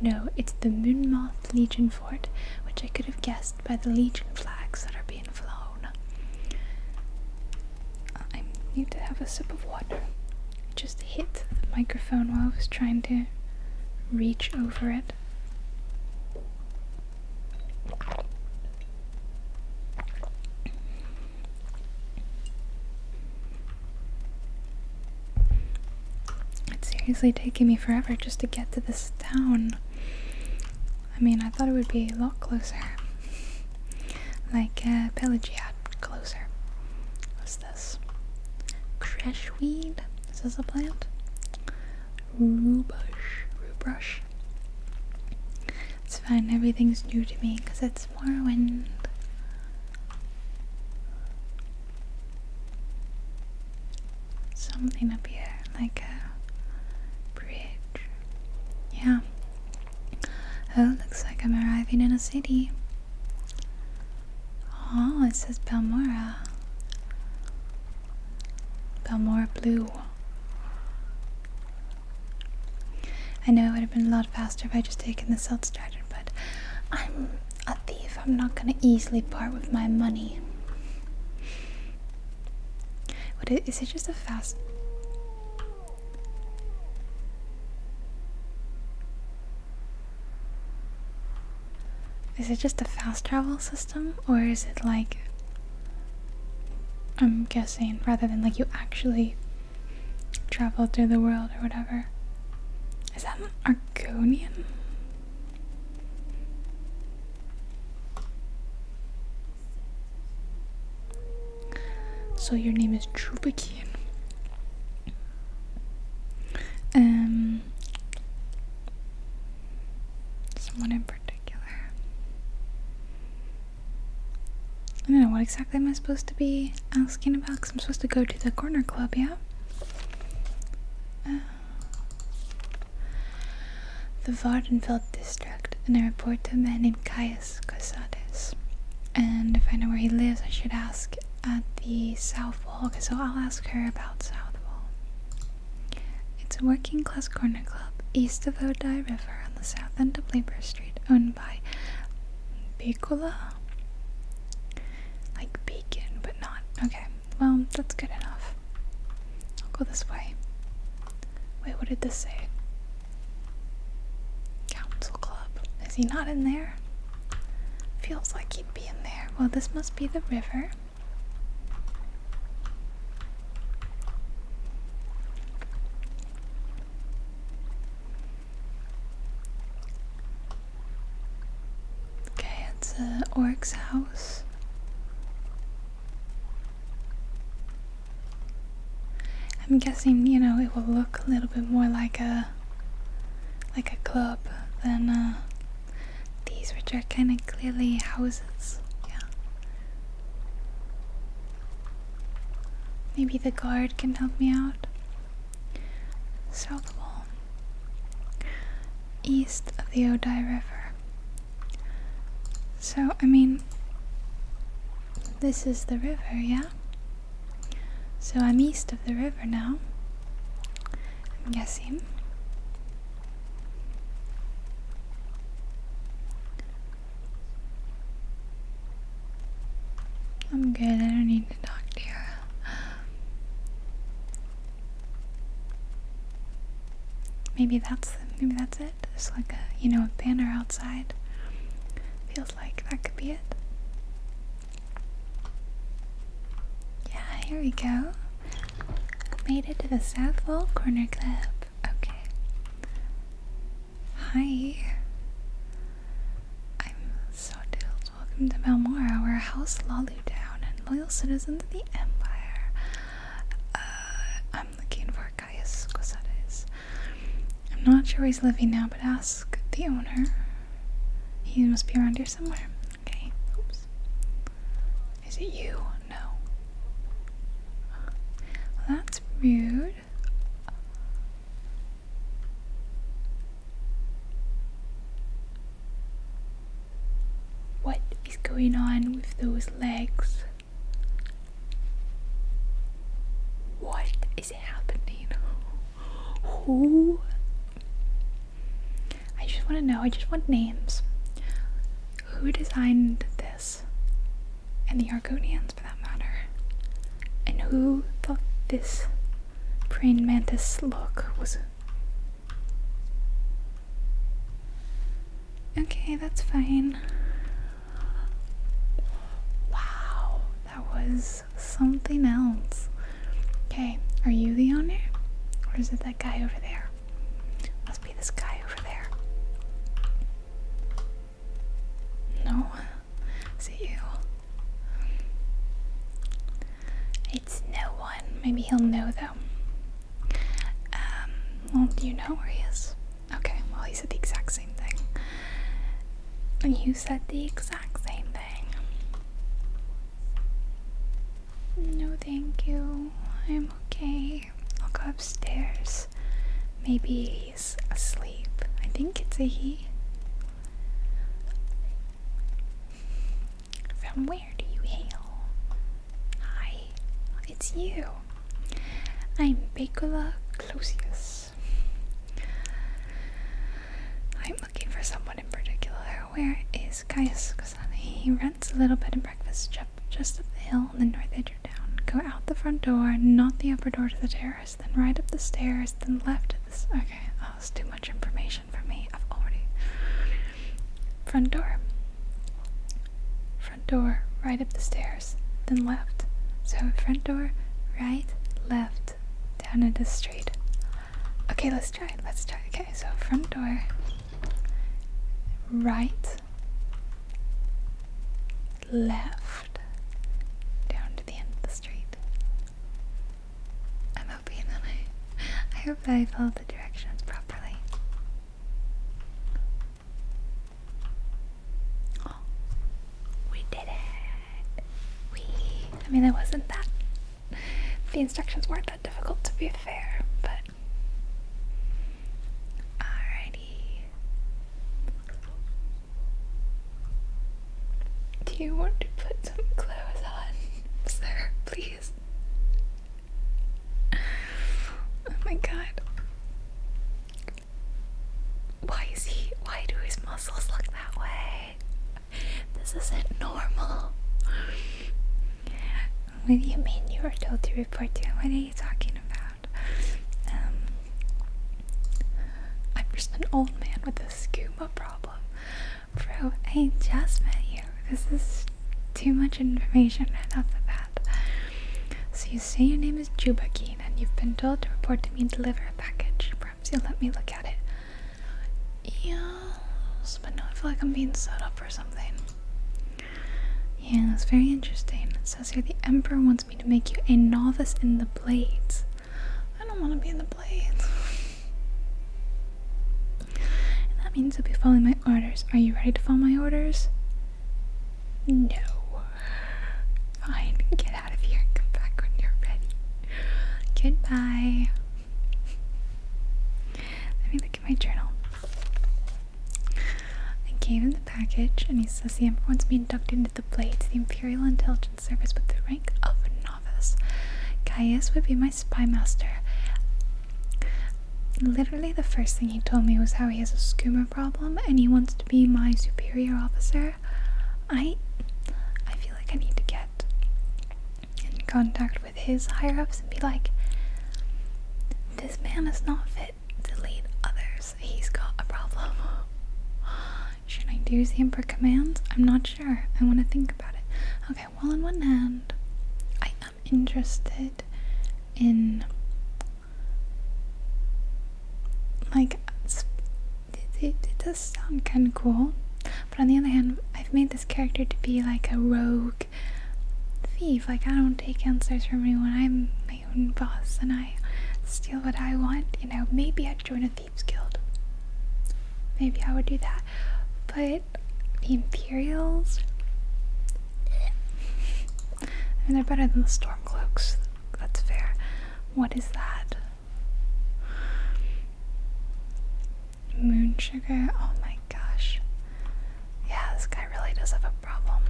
A: No, it's the Moonmoth Legion Fort, which I could have guessed by the Legion flags that are being flown. I need to have a sip of water. I just hit the microphone while I was trying to reach over it. It's seriously taking me forever just to get to this town. I mean, I thought it would be a lot closer. (laughs) like, uh, Pelagia closer. What's this? Creshweed? Is this a plant? Rubush. Rubush. It's fine, everything's new to me because it's more wind. Something up here, like a bridge. Yeah. Oh, looks like I'm arriving in a city. Oh, it says Balmora. Balmora Blue. I know it would have been a lot faster if I just taken the self strider but I'm a thief. I'm not gonna easily part with my money. What is, it just a fast Is it just a fast travel system or is it like I'm guessing, rather than like you actually traveled through the world or whatever. Is that an Argonian? So your name is Trubikian. Um someone in particular. I don't know, what exactly am I supposed to be asking about? Because I'm supposed to go to the corner club, yeah? Uh, the Vardenfeld district, and I report to a man named Caius Casades. And if I know where he lives, I should ask at the South Wall, so I'll ask her about South Wall. It's a working class corner club east of the Odai River the south end of Labor Street, owned by Bacola. Like bacon, but not. Okay, well, that's good enough. I'll go this way. Wait, what did this say? Council Club. Is he not in there? Feels like he'd be in there. Well, this must be the river. Okay, it's uh, Orc's house. I'm guessing, you know, it will look a little bit more like a like a club than uh, these, which are kind of clearly houses. Yeah. Maybe the guard can help me out. South Wall. East of the Odai River. So, I mean, this is the river, yeah? So I'm east of the river now. I'm guessing. I'm good, I don't need to talk to you. Maybe that's maybe that's it. It's like a you know, a banner outside. Feels like that could be it. Yeah, here we go. Made it to the South Wall Corner Club. Okay. Hi. I'm so thrilled. Welcome to Balmora. our house Lalu Town and loyal citizens of the Empire. Uh, I'm looking for Caius Cosades. I'm not sure where he's living now, but ask the owner. He must be around here somewhere. Okay. Oops. Is it you? No that's rude. What is going on with those legs? What is happening? Who? I just want to know, I just want names. Who designed this? and the Argonians for that matter. And who thought this praying mantis look was. Okay, that's fine. Wow, that was something else. Okay, are you the owner? Or is it that guy over there? Must be this guy over there. No, see you. It's no one. Maybe he'll know though. Um, well, you know where he is? Okay, well, he said the exact same thing. You said the exact same thing. No, thank you. I'm okay. I'll go upstairs. Maybe he's asleep. I think it's a he. From where do you hail? Hi, it's you. I'm Pecula Clausius. I'm looking for someone in particular. Where is Caius He rents a little bed and breakfast just up the hill the north edge of town. Go out the front door, not the upper door to the terrace, then right up the stairs, then left Okay, oh, that's too much information for me. I've already. Front door. Front door, right up the stairs, then left. So, front door, right, left, down into the street. Okay, let's try. Let's try. Okay, so front door, right, left down to the end of the street. I'm hoping that I, I hope that I followed the directions properly. Oh, we did it! We, I mean, it wasn't that, the instructions weren't that difficult to be fair, but Alrighty. Do you want to put some clothes on, (laughs) sir, please? Oh my god. Why is he why do his muscles look that way? This isn't normal. What do you mean you were told to report to him? What are you talking about? Um, I'm just an old man with a scuba problem. Bro, I just met you. This is too much information right off the bat. So you say your name is Jubakeen and you've been told to report to me and deliver a package. Perhaps you'll let me look at it. Yes, but no, I feel like I'm being set up for something. Yeah, it's very interesting. It says here the Emperor wants me to make you a novice in the blades. I don't want to be in the blades. that means you'll be following my orders. Are you ready to follow my orders? No. Fine, get out of here and come back when you're ready. Goodbye. Let me look at my journal. I gave him the package and he says the Emperor wants me inducted into the Blades, the Imperial Intelligence Service, with the rank of novice. Caius would be my spy master. Literally, the first thing he told me was how he has a skooma problem and he wants to be my superior officer. I, I feel like I need to get in contact with his higher ups and be like, this man is not fit delete others. He's got a problem. (gasps) Should I use the for commands? I'm not sure. I want to think about it. Okay, well, on one hand, I am interested in like it, it does sound kind of cool, but on the other hand, I've made this character to be like a rogue thief. Like I don't take answers from anyone. I'm my own boss and I steal what I want, you know, maybe I'd join a thieves guild. Maybe I would do that. But the Imperials (laughs) I mean they're better than the Stormcloaks, that's fair. What is that? Moon sugar, oh my gosh. Yeah, this guy really does have a problem.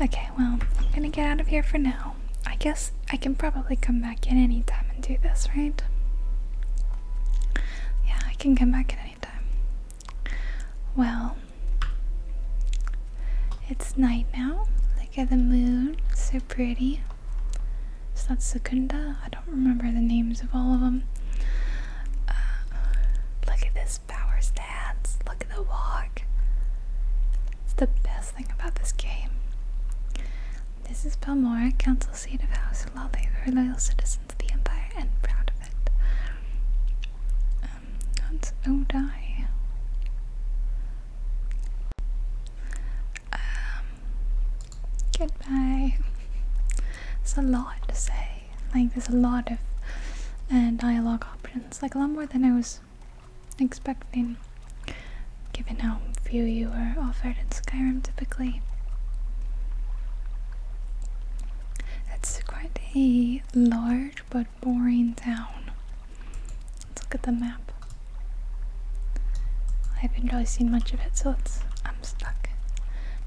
A: Okay, well, I'm gonna get out of here for now. I guess I can probably come back in any time and do this, right? Yeah, I can come back in any time. Well, it's night now. Look at the moon, so pretty. Is that Secunda? I don't remember the names of all of them. Uh, look at this power stance. Look at the walk. It's the best thing about this game. This is Belmora, Council Seat of House Lolly. We're loyal citizens of the Empire and proud of it. Um, that's Odai. Um, goodbye. It's a lot to say. Like, there's a lot of uh, dialogue options. Like, a lot more than I was expecting, given how few you are offered in Skyrim typically. It's quite a large but boring town. Let's look at the map. I haven't really seen much of it, so let I'm stuck.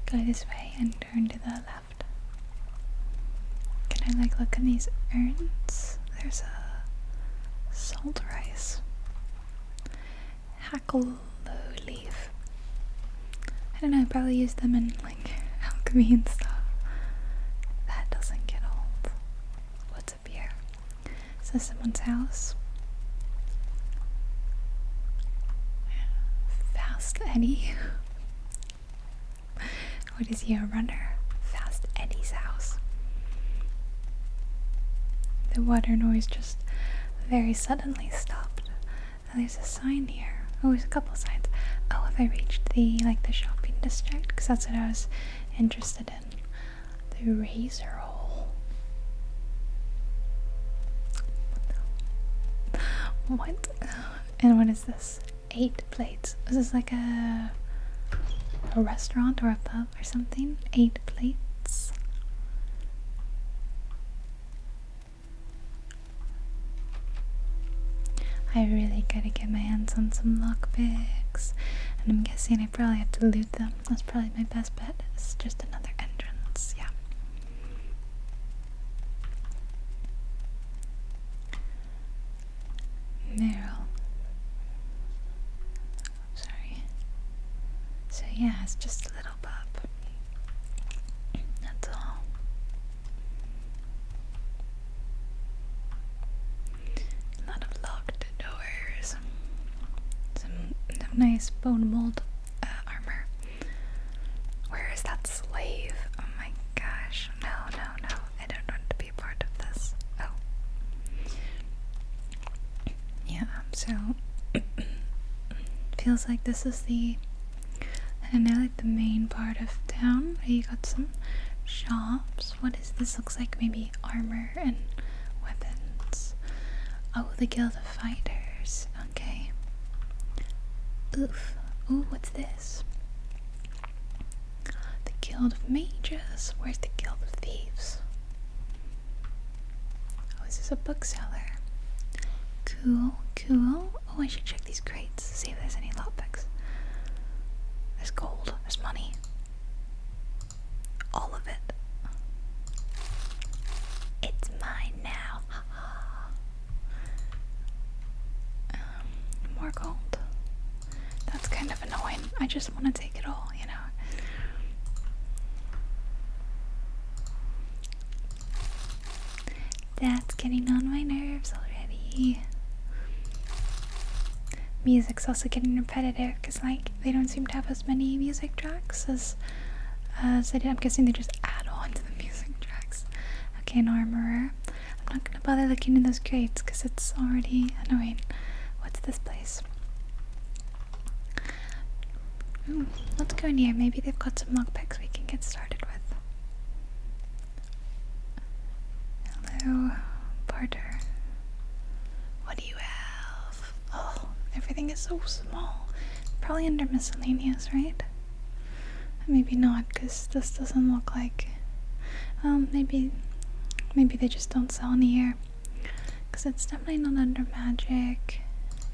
A: Go this way and turn to the left. Can I like look in these urns? There's a salt rice. Hackle leaf. I don't know, probably use them in like (laughs) alchemy and stuff. That doesn't get old. What's up here? Is this someone's house? Fast Eddie. (laughs) What is he, a runner? Fast Eddie's house. The water noise just very suddenly stopped. And there's a sign here. Oh, there's a couple signs. Oh, have I reached the, like, the shopping district? Because that's what I was interested in. The razor hole. What? And what is this? eight plates. This is like a a restaurant or a pub or something. Eight plates. I really gotta get my hands on some lockpicks, and I'm guessing I probably have to loot them. That's probably my best bet. It's just another entrance, yeah. Meryl. sorry. So yeah, it's just a little pup. That's all. A lot of locked doors. Some, nice bone mold uh, armor. Where is that slave? Oh my gosh. No, no, no. I don't want to be part of this. Oh. Yeah, so (coughs) feels like this is the and now like the main part of town where you got some shops. What is this? Looks like maybe armor and weapons. Oh, the Guild of Fighters. Okay. Oof. Ooh, what's this? The Guild of Mages. Where's the Guild of Thieves? Oh, this is a bookseller? Cool, cool. Oh, I should check these crates, see if there's any lockpicks. There's gold, there's money. All of it. It's mine now. Um, more gold. That's kind of annoying. I just want to take it all, you know. That's getting on my nerves already. Music's also getting repetitive because, like, they don't seem to have as many music tracks as as I did. I'm guessing they just add on to the (laughs) music tracks. Okay, an armorer. I'm not gonna bother looking in those crates because it's already annoying. What's this place? Hmm, let's go in here. Maybe they've got some lockpicks we can get started with. Hello, Barter. What do you have? Oh, everything is so small. Probably under miscellaneous, right? Maybe not, because this doesn't look like um, maybe, maybe they just don't sell any here, cause it's definitely not under magic.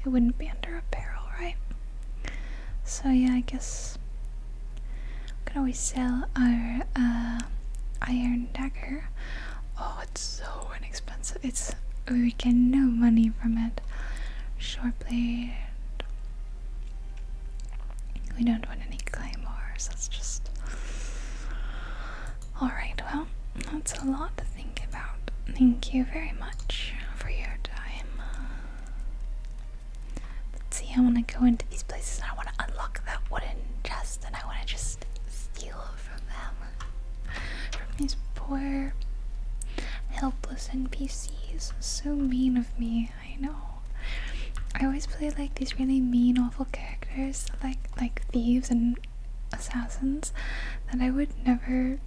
A: It wouldn't be under apparel, right? So yeah, I guess we could always sell our uh, iron dagger. Oh, it's so inexpensive. It's we get no money from it. Short blade. We don't want any claymores, that's just. Alright, well, that's a lot to think about. Thank you very much for your time. Let's see, I want to go into these places and I want to unlock that wooden chest and I want to just steal from them. From these poor, helpless NPCs. So mean of me, I know. I always play like these really mean, awful characters, like like thieves and assassins, that I would never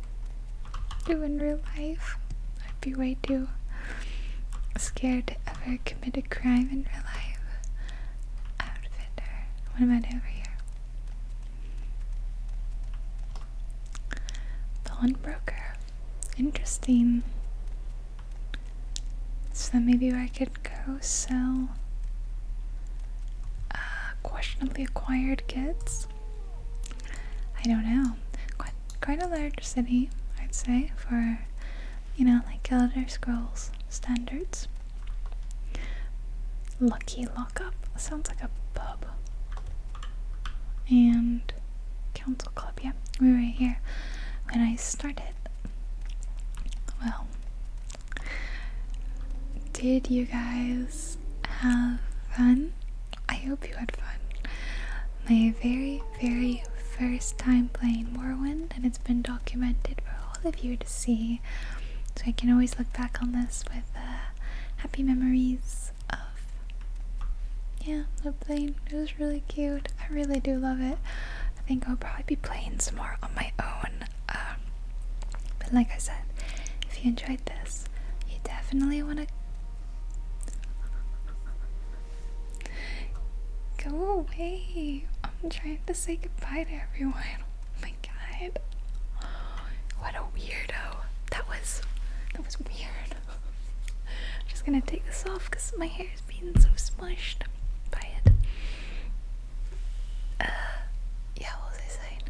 A: do in real life. I'd be way too scared to ever commit a crime in real life. Outfitter, what am I doing over here? Pawnbroker, interesting. So then maybe I could go sell uh, questionably acquired goods. I don't know. Quite, quite a large city, I'd say, for, you know, like Elder Scrolls standards. Lucky Lockup. Sounds like a pub. And Council Club, yeah. We were here when I started. Well, did you guys have fun? I hope you had fun. My very, very first time playing Morrowind, and it's been documented for all of you to see. So I can always look back on this with uh, happy memories of. Yeah, the plane. It was really cute. I really do love it. I think I'll probably be playing some more on my own. Um, but like I said, if you enjoyed this, you definitely want to go away. I'm trying to say goodbye to everyone. Oh my god. What a weirdo. That was that was weird. (laughs) I'm just gonna take this off because my hair been so smushed by it. Uh, yeah, what was I saying?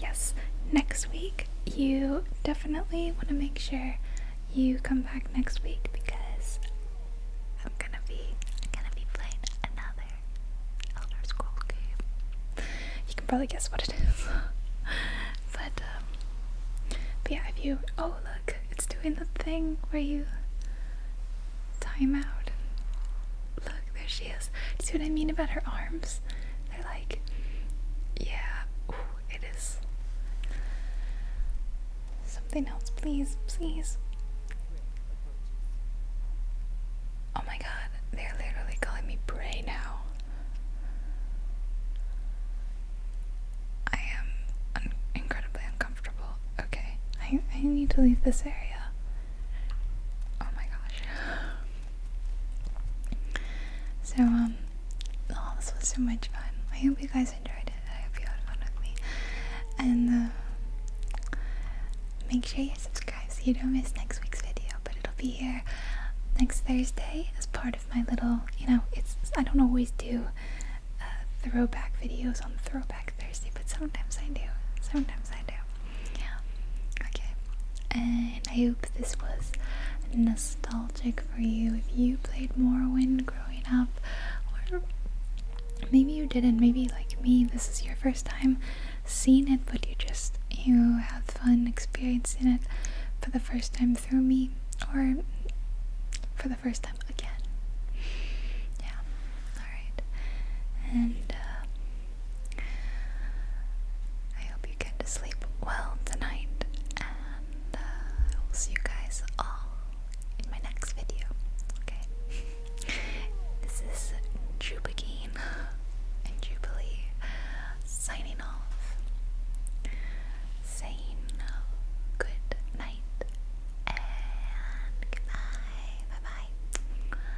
A: Yes, next week you definitely want to make sure you come back next week because I'm gonna be gonna be playing another Elder Scrolls game. You can probably guess what it is, (laughs) um, but yeah, if you oh look, it's doing the thing where you time out. look, there she is. see what I mean about her arms? They're like, yeah, it is. Something else, please, please. Oh my god, they're literally calling me Bray now. I am incredibly uncomfortable. Okay, I, I need to leave this area. Oh my gosh. (sighs) So, um, oh, this was so much fun. I hope you guys enjoyed it. I hope you had fun with me. And, uh, make sure you subscribe so you don't miss next week's video, but it'll be here next Thursday as part of my little, you know, it's, I don't always do uh, throwback videos on Throwback Thursday, but sometimes I do. Sometimes I do. Yeah. Okay. And I hope this was nostalgic for you. If you played Morrowind growing up, or maybe you didn't, maybe like me, this is your first time seeing it, but you just you had fun experiencing it for the first time through me, or for the first time again. Yeah. Alright. And uh, I hope you get to sleep well tonight. And uh, I will see you guys all in my next video. Okay? this is Jubagine and Jubilee signing off. Saying uh, good night and goodbye. Bye-bye. Bye.